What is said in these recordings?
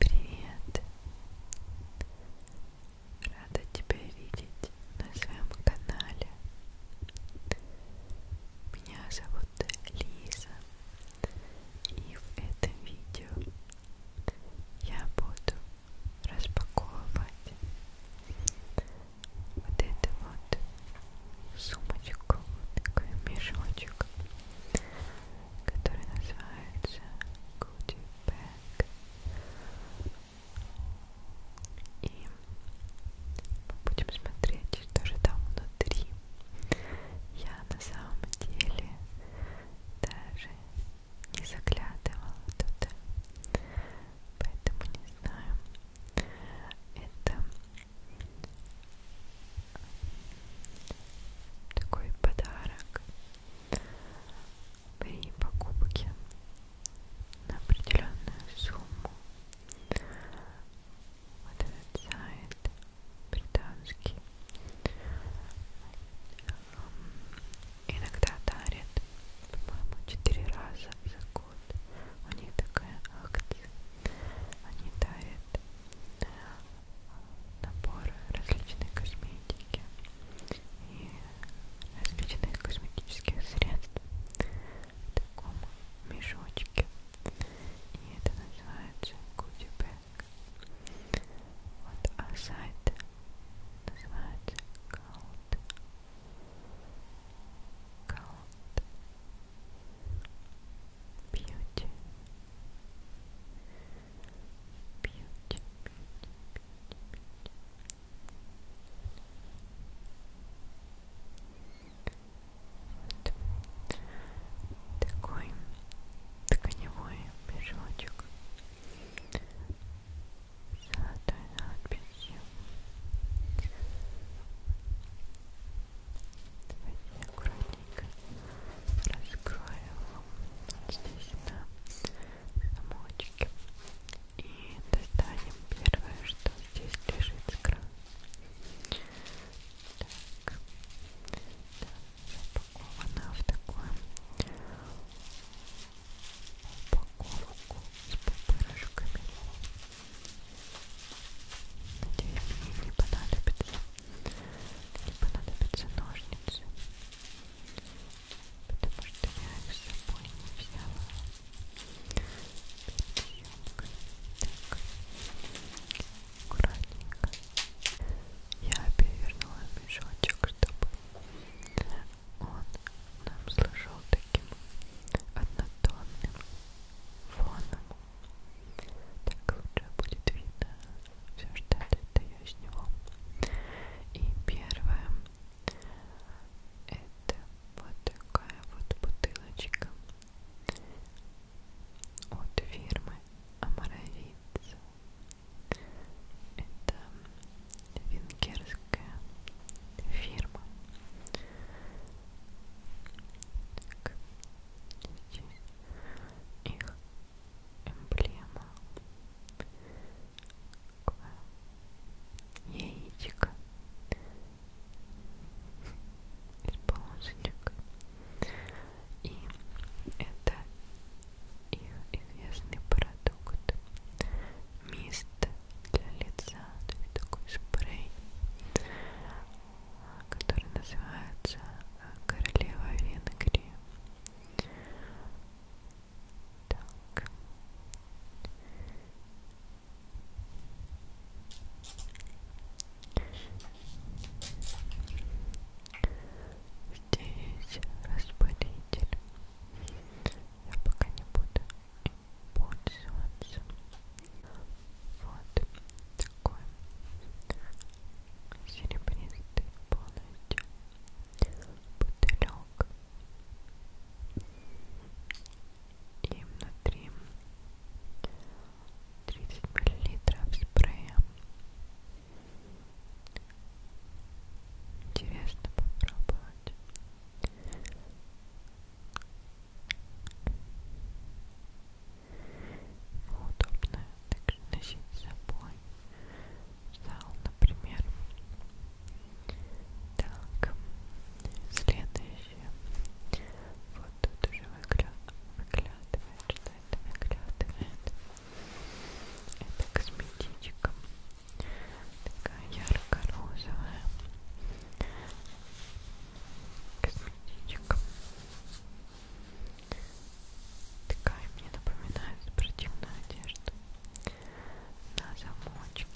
Привет! Рада тебя видеть на своем канале. Меня зовут Лиза, и в этом видео я буду распаковывать вот эту вот сумочку, такой мешочек, который называется Goodie Bag. И мы будем смотреть, что же там внутри. Я на самом деле даже не заглядывала туда, поэтому не знаю. Это такой подарок при покупке на определенную сумму вот этот сайт британский эм, иногда дарит по-моему четыре раза в закупку вот, у них такая акция, они дарят э, набор различной косметики и различных косметических средств в таком мешочке, и это называется Goodieback. Вот, а сайт называется Cult. Cult. Beauty. Beauty, beauty, beauty, beauty. Вот. Такой тканевой мешочек с надписью Давайте аккуратненько раскроем вот здесь на замочке и достанем первое, что здесь лежит с крана. Так, да, запакована в такую упаковку с пупырышками. Надеюсь, мне не понадобится, не понадобятся ножницы, потому что я их с собой не взяла. Так, аккуратненько. Я перевернула мешочек, чтобы он нам служил таким однотонным фоном. Так лучше будет видно все, что я достаю с него. И первое это вот такая вот бутылочка от фирмы Амаровиц. Это венгерская фирма. Так, здесь их эмблема. Такое яичко из полосочек. И это их известный продукт. Мист для лица, то есть такой спрей который называется э, Королева Венгрии. Так. Здесь распылитель. Я пока не буду пользоваться. Вот такой серебристый полностью бутылек. И внутри 30 мл спрея. Интересно попробовать. Удобно также носить с собой в зал, например. Так, следующее. Вот тут уже выгля... выглядывает, что это выглядывает. Это косметичка. Такая ярко-розовая косметичка. Такая мне напоминает спортивную одежду. На замочке,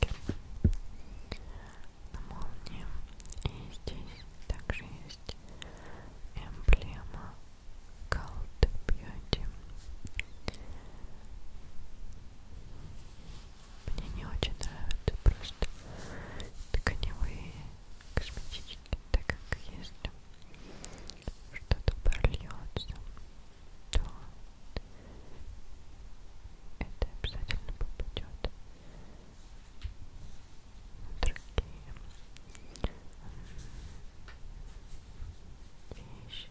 на молнии. И здесь также есть эмблема Gold Beauty. Мне не очень нравятся просто тканевые косметички, так как если что-то прольется, то это обязательно попадет на другие вещи,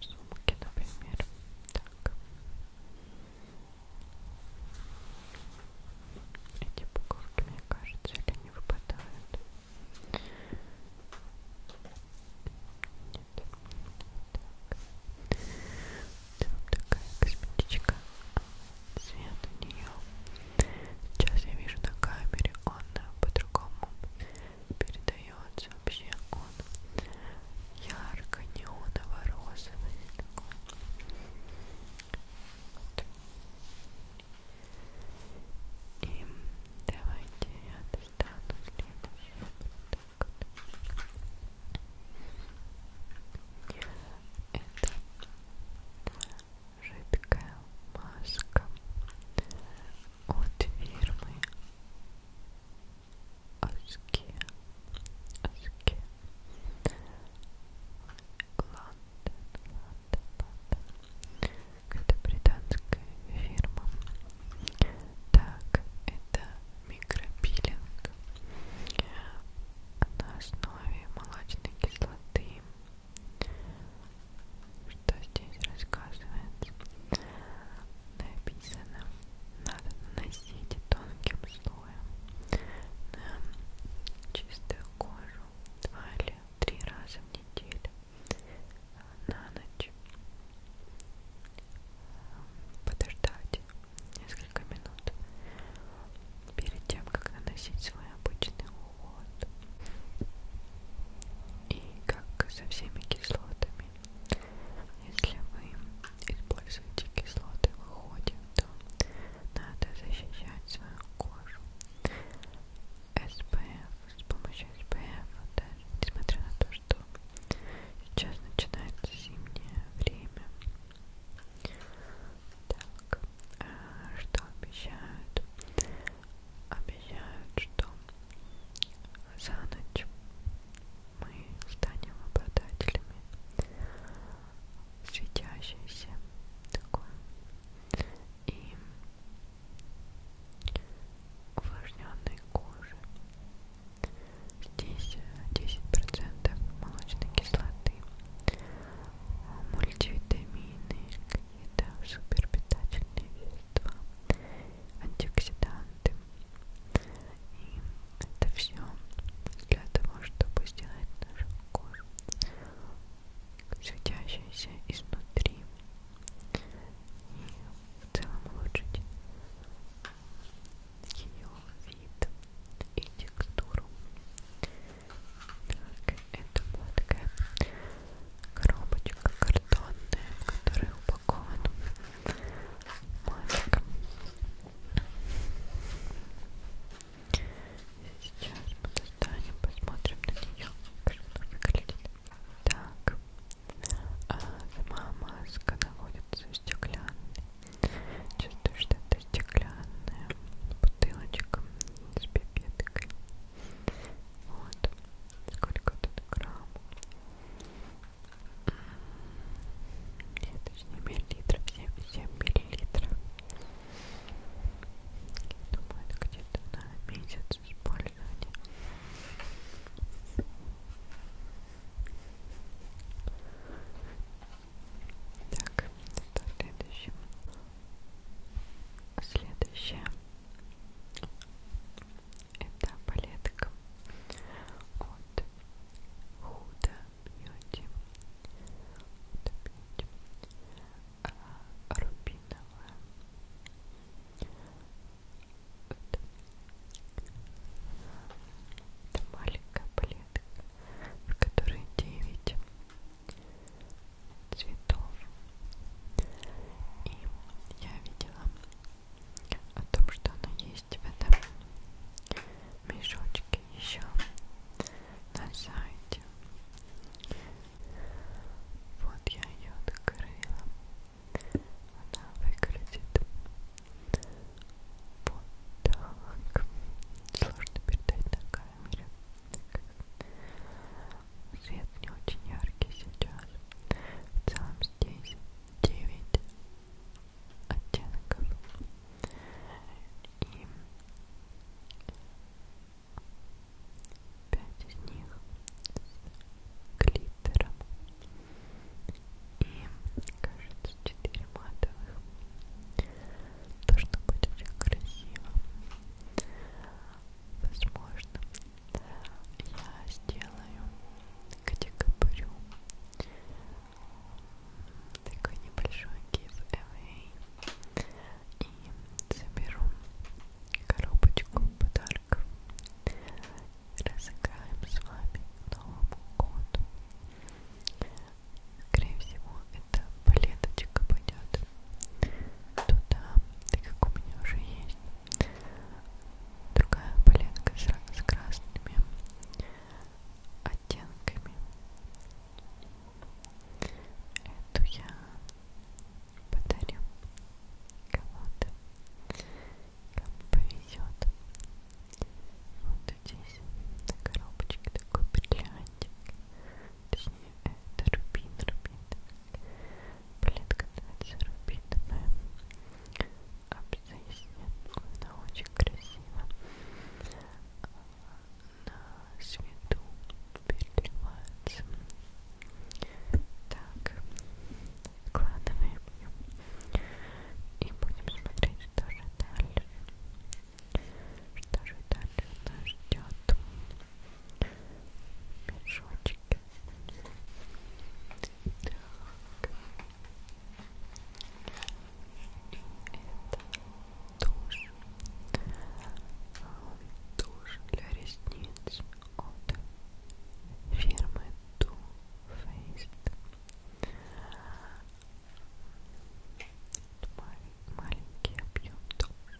сумки, например. Так. Эти буковки, мне кажется, или не выпадают. Нет. Так. Это вот такая косметичка. Цвет у нее. Сейчас я вижу на камере, он по-другому передается вообще. Он ярко-неоново-розовый такой. Вот. И давайте я достану следующую. Вот так вот. Это жидкая маска от фирмы Аски, Аски, Лондон, Лондон, Лондон. Это британская фирма. Так, это микропилинг на основе молочной кислоты. Что здесь рассказывается? Написано, надо наносить тонким слоем слоем на чистую кожу два или три раза в неделю э, на ночь э, подождать несколько минут перед тем, как наносить свой обычный уход и как со всеми кислотами если вы используете кислоты в уходе, то надо защищать свою кожу SPF, с помощью SPF, даже несмотря на то, что сейчас начинается зимнее время. Так, а что обещают? Обещают, что за ночь мы станем обладателями светящееся такое и увлажненной кожи. Здесь 10% э, молочной кислоты, мультивитамины, какие-то суперпитательные вещества, антиоксиданты, и это все для того, чтобы сделать нашу кожу светящейся изнутри и в целом улучшить ее вид и текстуру. Так, это была такая коробочка картонная, в которой упакован маленький Сейчас мы достанем, посмотрим на нее, как она выглядит. Так, а сама маска находится в стеклянной. Чувствую, что это стеклянная бутылочка с пипеткой. Вот, сколько тут грамм? Нет, точнее миллилитров, 77 миллилитров. Я думаю, это где-то на месяц использования. Так, это следующее. Следующее. Это палетка от Huda бьюти а, рубиновая вот. это маленькая палетка в которой 9 цветов и я видела о том, что она есть в этом мешочки еще на сайте. Вот я ее открыла. Она выглядит вот так. Сложно передать на камере. Свет не очень яркий сейчас. В целом здесь 9 оттенков и пять из них с глиттером и кажется четыре матовых должно быть очень красиво возможно я сделаю где копырю такой небольшой giveaway и заберу коробочку подарков разыграем с вами к Новому году скорее всего эта палеточка пойдет туда, так как у меня уже есть другая палетка с, с красными оттенками. Эту я подарю кому-то, кому повезет. Вот здесь на коробочке такой бриллиантик. Точнее, это рубин, рубин. Плитка называется рубиновая. Обзависит. Она очень красиво на свету переливается. Так, складываем и будем смотреть, что же дальше. Что же дальше нас ждет? Мешочки. Так. Это тушь. Тушь а, для ресниц от фирмы Too Faced. Маленький объем туши.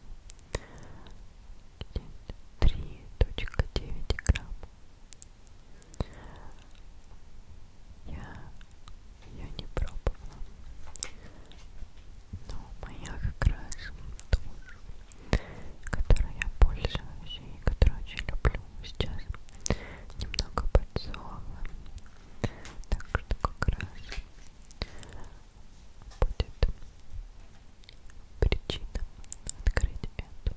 3.9 грамм я, я не пробовала. Но моя как раз тушь, которой я пользуюсь и которую очень люблю сейчас, немного подсохла. Так что как раз будет причина открыть эту.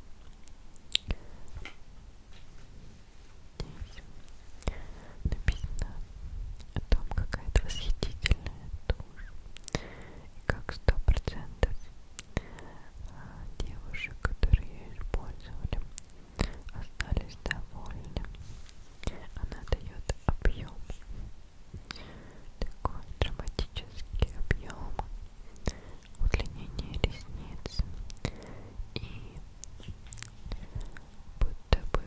Здесь написано о том, какая-то восхитительная душа. И как сто процентов а, девушек, которые ее использовали, остались довольны. Она дает объем. Такой драматический объем. Удлинение ресниц и будто бы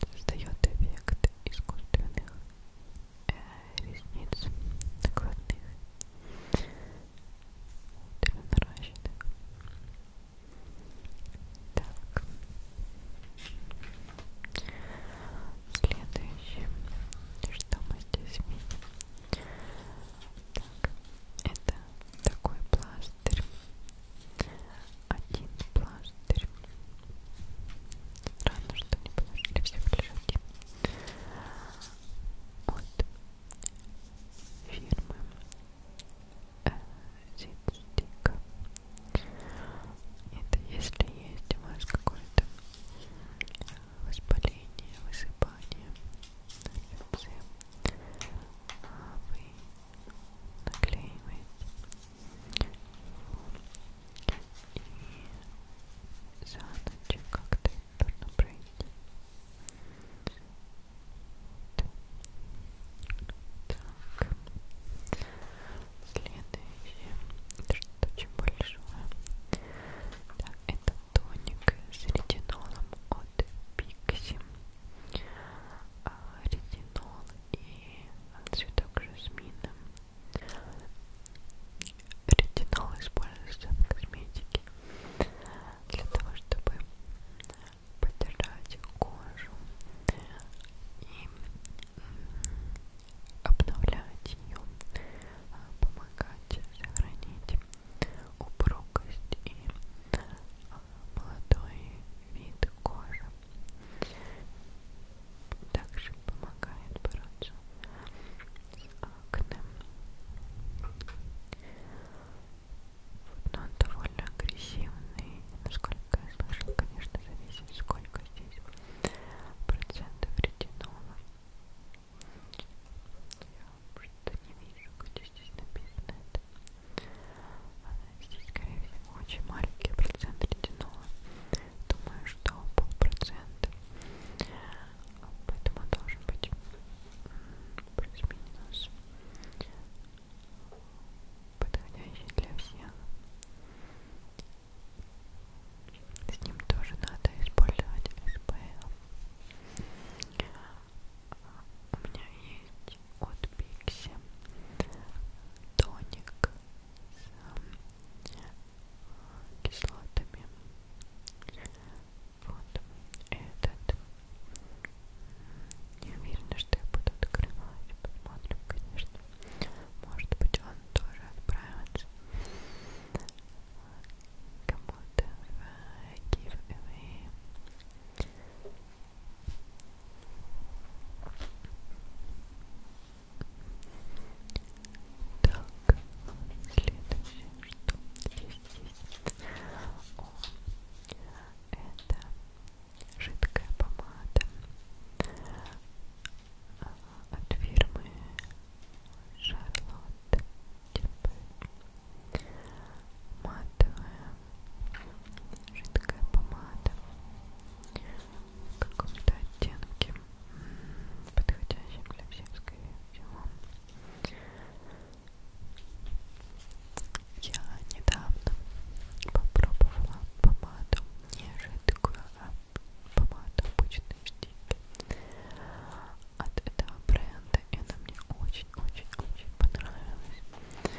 создает эффект искусственных э, ресниц накладных наращенных так следующее что мы здесь видим так, это такой пластырь один пластырь странно, что мне подошли все плюшки от фирмы э, Зитстик это если есть у вас какое-то воспаление, высыпание, инфекция а вы наклеивает. И за ночь как-то трудно пройти. Так. Следующее. Это что-то очень большое. Так, это тоник с ретинолом от Pixie. А, ретинол и цветок жасмина. Ретинол используется в косметике для того, чтобы поддержать кожу и обновлять ее, а, помогать сохранить упругость и а, молодой вид кожи. Также помогает бороться с акне. Вот, но он довольно агрессивный. Насколько я слышала, конечно, зависит, сколько здесь процентов ретинола. Я просто не вижу, где здесь написано это. Здесь, скорее всего, очень маленький процент ретинола. Думаю, что полпроцента. Поэтому должен быть плюс-минус подходящий для всех. С ним тоже надо использовать SPF у меня есть от Пикси тоник с кислотами. Вот этот. Не уверена, что я буду открывать. Посмотрим, конечно. Может быть, он тоже отправится кому-то в giveaway. Так, следующее, что здесь есть, О, это жидкая помада от фирмы Шарлотт Матовая жидкая помада в каком-то оттенке подходящем для всех, скорее всего я недавно попробовала помаду не жидкую, а помаду обычной в стиле от этого бренда и она мне очень-очень-очень понравилась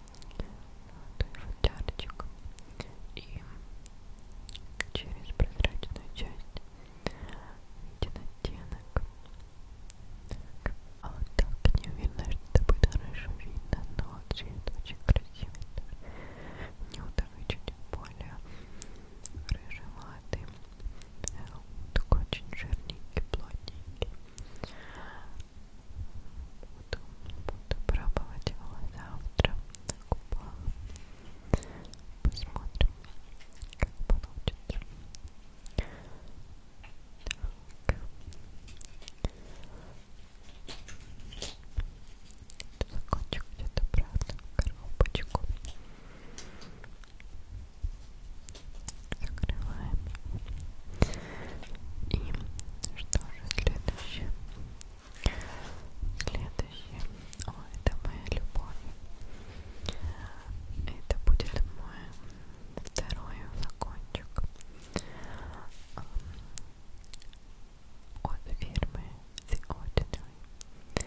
золотой футлярчик и через прозрачную часть виден оттенок так. а вот так не уверена, что это будет хорошо видно, но цвет очень красивый у него такой чуть более рыжеватый такой очень жирненький, плотненький буду, буду пробовать его завтра на губах. Посмотрим, как получится. Так. Закончу где-то обратно коробочку. Закрываем. И что же следующее? Следующее. О, это моя любовь. Это будет мой второй флакончик эм, от фирмы The Ordinary.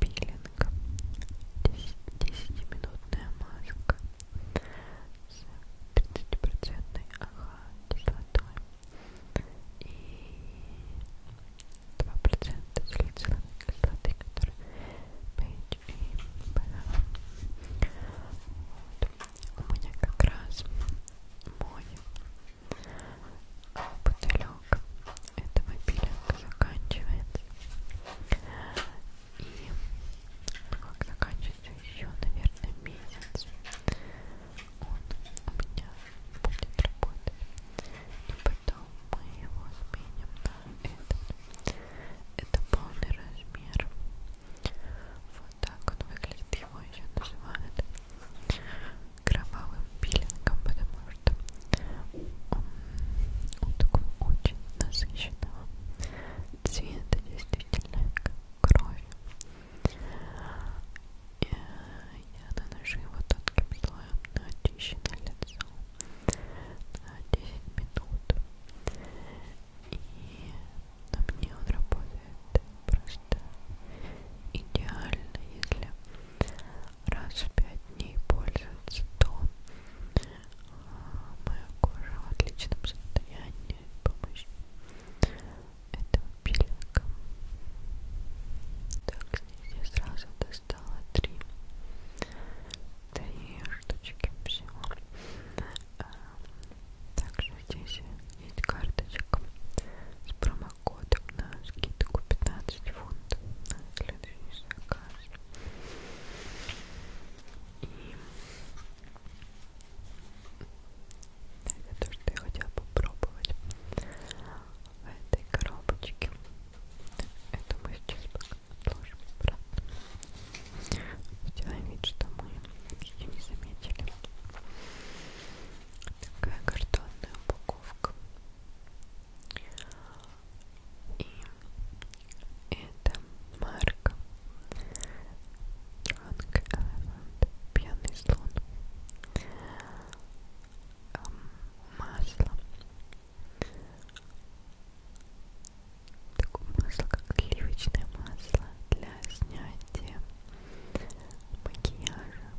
Пилинг. 10-минутная маска с 30% ага, кислотой и 2% салициловой кислоты, которая PHP вот. У меня как раз мой бутылек этого пилинга заканчивается и ну как заканчивается ждать еще, наверное, месяц. Он у меня будет работать. И потом мы его сменим на этот. Это полный размер. Вот так он выглядит. Его еще называют кровавым пилингом, потому что он, он такой очень насыщенного цвета, действительно кровь. И я наношу его тонким слоем на очищенное лицо на 10 минут. И на мне он работает просто идеально, если раз в 5 дней пользоваться, то а, моя кожа в отличном состоянии помощь этого пилинга. Так, здесь я сразу достала три, три штучки всего. А, также здесь есть карточка с промокодом на скидку 15 фунтов на следующий заказ. И это то, что я хотела попробовать в этой коробочке. Это мы сейчас пока отложим обратно. Сделаем вид, что мы ее не заметили. Такая картонная упаковка. И это марка Drunk Elephant, пьяный слон, эм, масло, такое масло, как сливочное масло для снятия макияжа.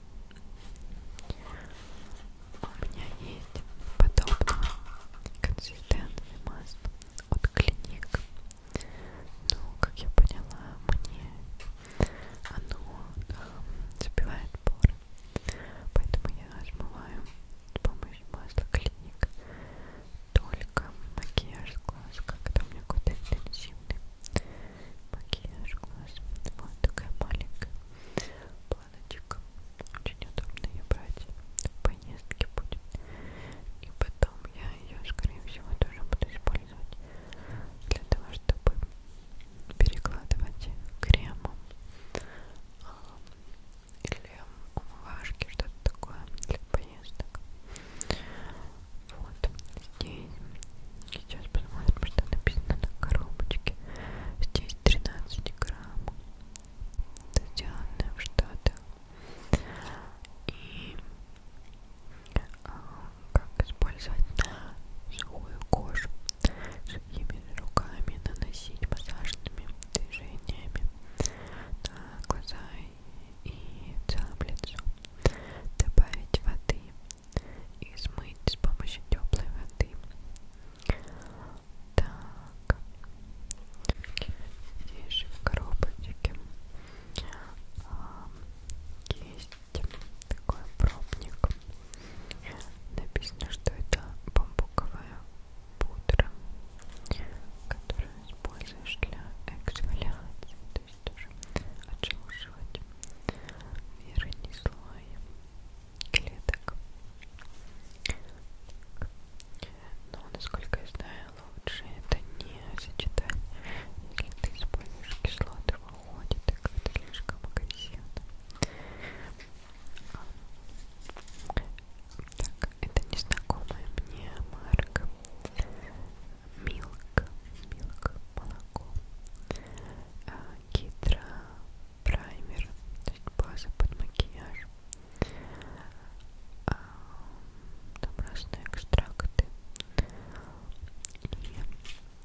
У меня есть подобное консистентное масло от клиник но, ну, как я поняла, мне оно э, забивает поры, поэтому я смываю с помощью масла клиник только макияж глаз, когда у меня какой-то интенсивный макияж глаз. Вот такая маленькая планочка. Очень удобно ее брать в поездке будет использовать. И потом я ее, скорее всего, тоже буду использовать для того, чтобы перекладывать кремом а, или умывашки, что-то такое для поездок. Вот здесь. Сейчас посмотрим, что написано на коробочке. Здесь 13 грамм. Это сделано в Штатах. И а, как использовать сухую кожу сухими руками наносить массажными движениями на глаза и целом лицо добавить воды и смыть с помощью теплой воды так здесь же в коробочке Эм, есть такой пробник. Написано, что это бамбуковая пудра, которую используешь для эксфоляции, то есть тоже отшелушивать верхний слой клеток. Но, насколько я знаю, лучше это не сочетание. Если ты используешь кислоты в уходе, так это слишком агрессивно. Так, это незнакомая мне марка. Милк, милк, молоко. А, Гидра праймер, то есть база под макияж. А, там разные экстракты и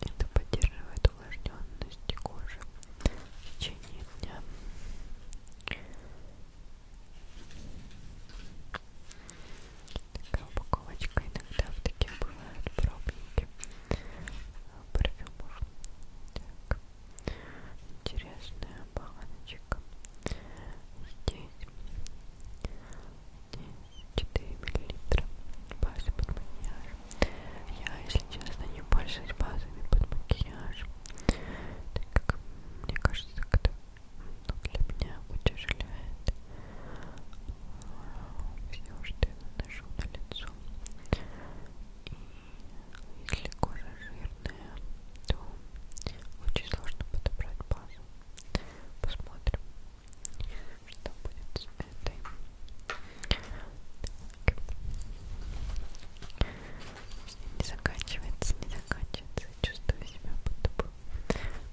это поддерживает увлажненность кожи в течение дня такая упаковочка иногда в таких бывают пробники парфюмов так интересная баночка здесь, здесь 4 миллилитра базы под макияж. Я, если честно, не пользуюсь базами под макияж, так как мне кажется, как это ну, для меня утяжеляет все, что я наношу на лицо. И если кожа жирная, то очень сложно подобрать базу. Посмотрим, что будет с этой. Так. Не заканчивается, не заканчивается. Чувствую себя будто бы.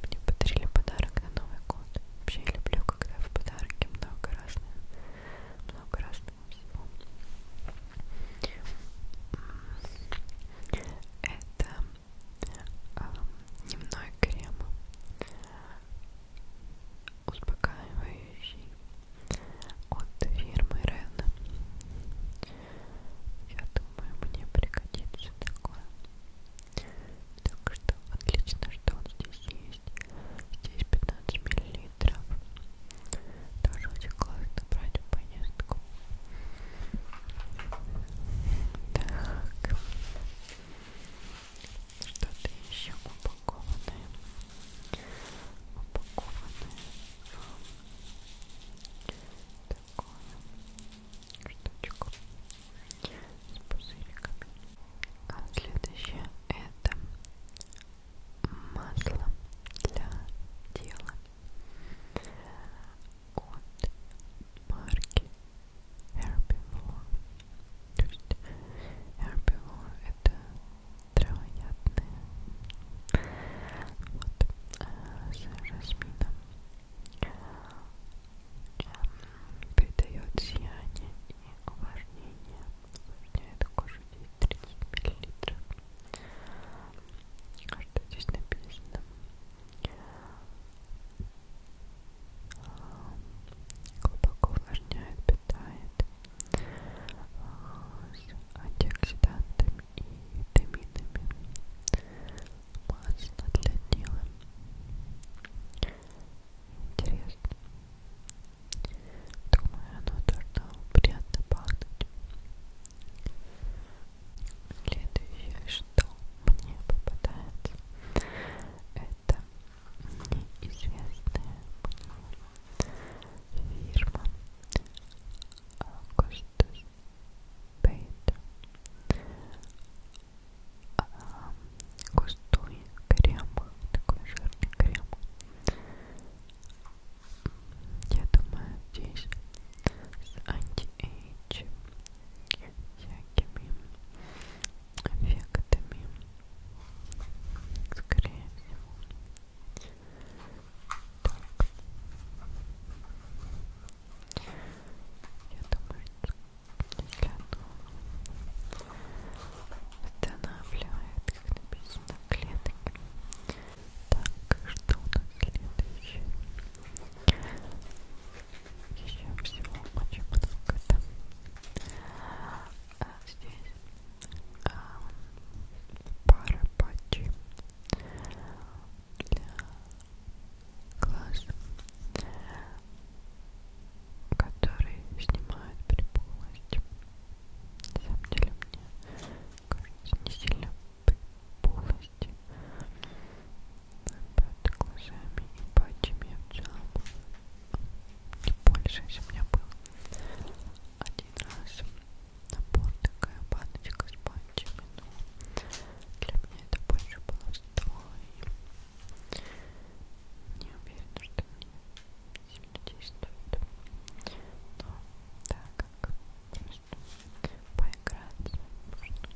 Мне подарили подарок на Новый год. Вообще я люблю, когда в подарке много разного, много разного всего. Это э, дневной крем успокаивающий от фирмы Рен. Я думаю, мне пригодится такое. Так что отлично, что он здесь есть. Здесь 15 миллилитров. Тоже очень классно брать в поездку. Так. Что-то еще упакованное. Упакованное. Такую штучку с пузыриками. А следующее это масло для тела от марки herbivore. То есть herbivore это травоядные. Вот э, а, с жасмином придает сияние и увлажнение. Увлажняет кожу 30 мл. А что здесь написано? глубоко увлажняет, питает с э, антиоксидантами и витаминами масло для тела интересно думаю оно должно приятно пахнуть Следующее, что мне попадается, это неизвестная мне фирма Augustus Paint а, густой крем, такой жирный крем. Я думаю, здесь с анти-эйдж всякими эффектами, скорее всего. Так. Я думаю, если оно останавливает, как написано, клетки. Так, что у нас следующее? еще всего очень много там а, здесь а, пара патчей для глаз которые снимают при полностью на самом деле мне кажется не сильно полости под глазами и патчами я взяла не больше, если у меня был один раз набор такая баночка с патчами, но для меня это больше баловство и не уверена, что мне сильно действует но да, как просто поиграться можно.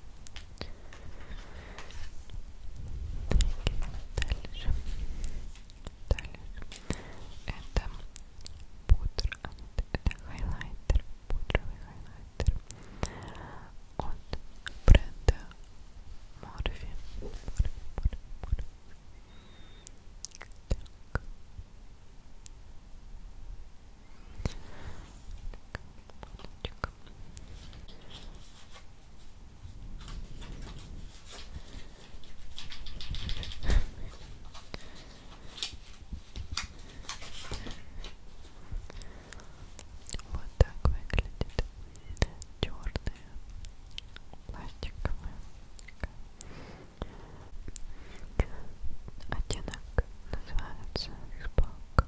Дальше. Дальше. Это пудра. Это хайлайтер. Пудровый хайлайтер. От бренда Morphe. Morphe, Morphe, Morphe. Так. Так, вот так выглядит черная пластиковая Оттенок называется Xbox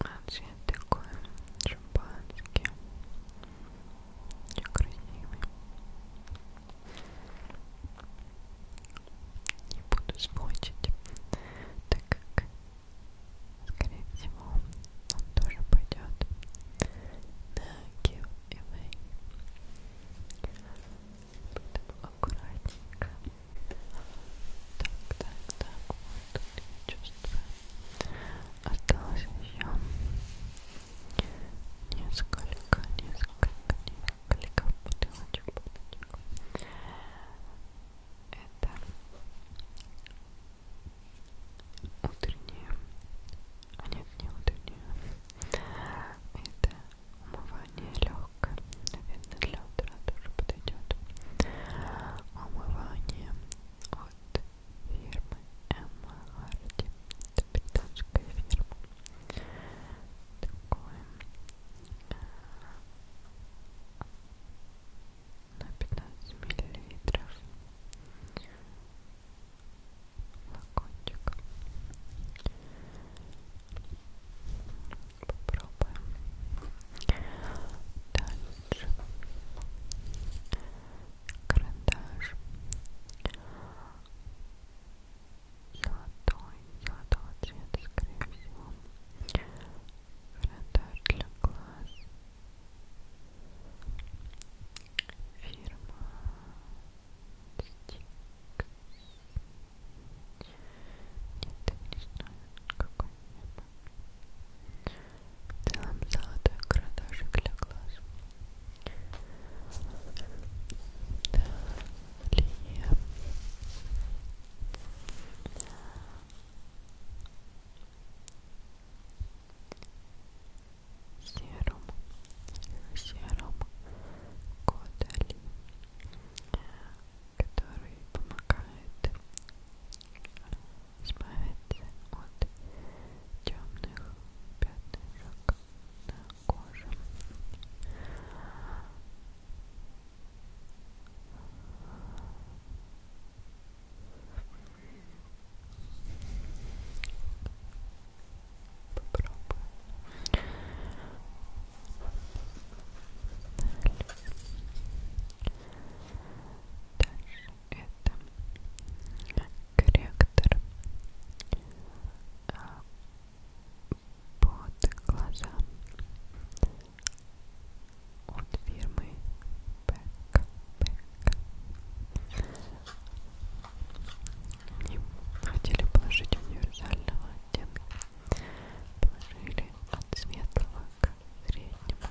а цвет такой шампанский. Очень красивый. Не буду смочить, так как, скорее всего, он тоже пойдет на QMA поэтому аккуратненько. Так, так, так, вот тут я чувствую. Осталось еще несколько, несколько, несколько бутылочек, бутылочек. Это утренние, а нет, не утренние. Это Умывание легкое, наверное, для утра тоже подойдет. Умывание от фирмы Эмма Харди. Это британская фирма. Такое э, на 15 миллилитров флакончик попробуем дальше карандаш золотой, золотого цвета, скорее всего карандаш для глаз фирма Стикс нет, не знаю, какой небо. В целом золотой карандашик для глаз. Далее. Серум, серум, Кодали, который помогает избавиться от темных пятнышек на коже. Попробуем Дальше это корректор под глаза от фирмы Бэк. Бэк. Они хотели положить универсального оттенки положили от светлого к среднему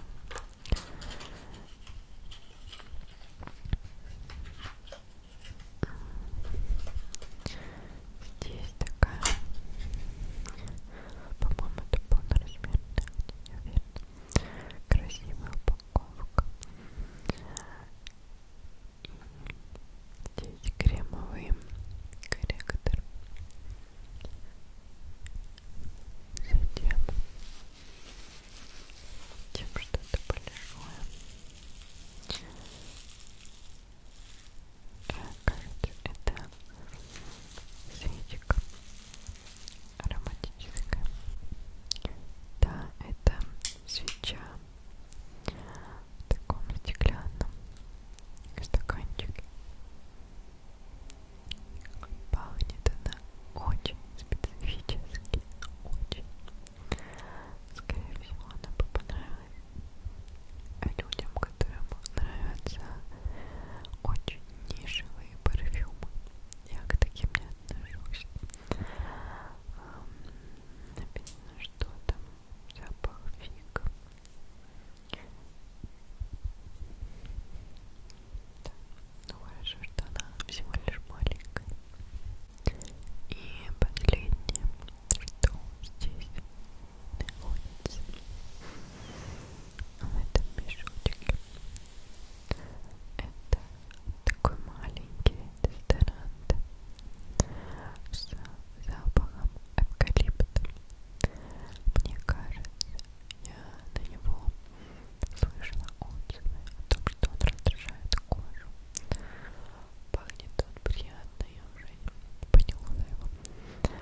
здесь такая по-моему это полноразмерная не уверена красивая упаковка и здесь кремовый корректор затем тем что-то большое кажется это свечка ароматическая да, это свеча в таком стеклянном стаканчике. Пахнет она очень специфически, очень. Скорее всего, она бы понравилась людям, которым нравятся очень нишевые парфюмы. Я к таким не отношусь. Эм, написано, что там запах фиг. Да. Ну хорошо, что она всего лишь маленькая. И последнее, что здесь находится в ну, этом мешочке, это такой маленький дезодорант с запахом эвкалипта. Мне кажется, я на него слышала отзывы о том, что он раздражает кожу. Пахнет он приятно, я уже поняла его.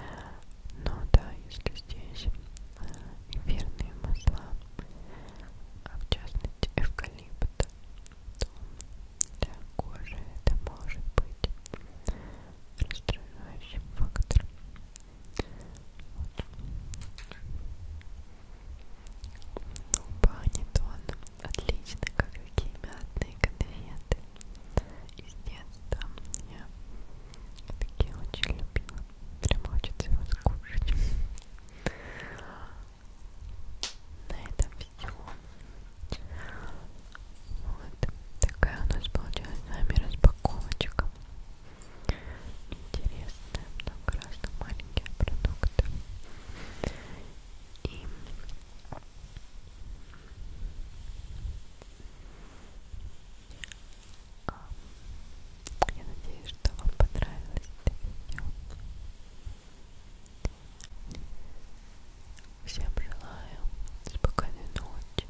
Но да, если здесь э, эфирные масла, а в частности эвкалипт, то для кожи это может быть быть раздражающим фактором. Вот. Панетон. Отлично, как какие мятные конфеты. Из детства я такие очень любила. Прям хочется его скушать. На этом все. Вот такая у нас получилась с вами распаковочка. Интересная, много разных маленьких продуктов. И а, я надеюсь, что вам понравилось это видео. Всем желаю спокойной ночи,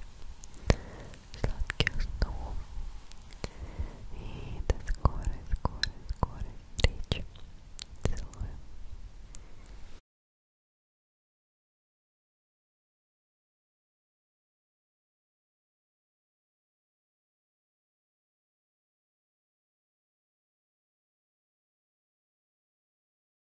сладких снов и до скорой, скорой, скорой встречи. Целую.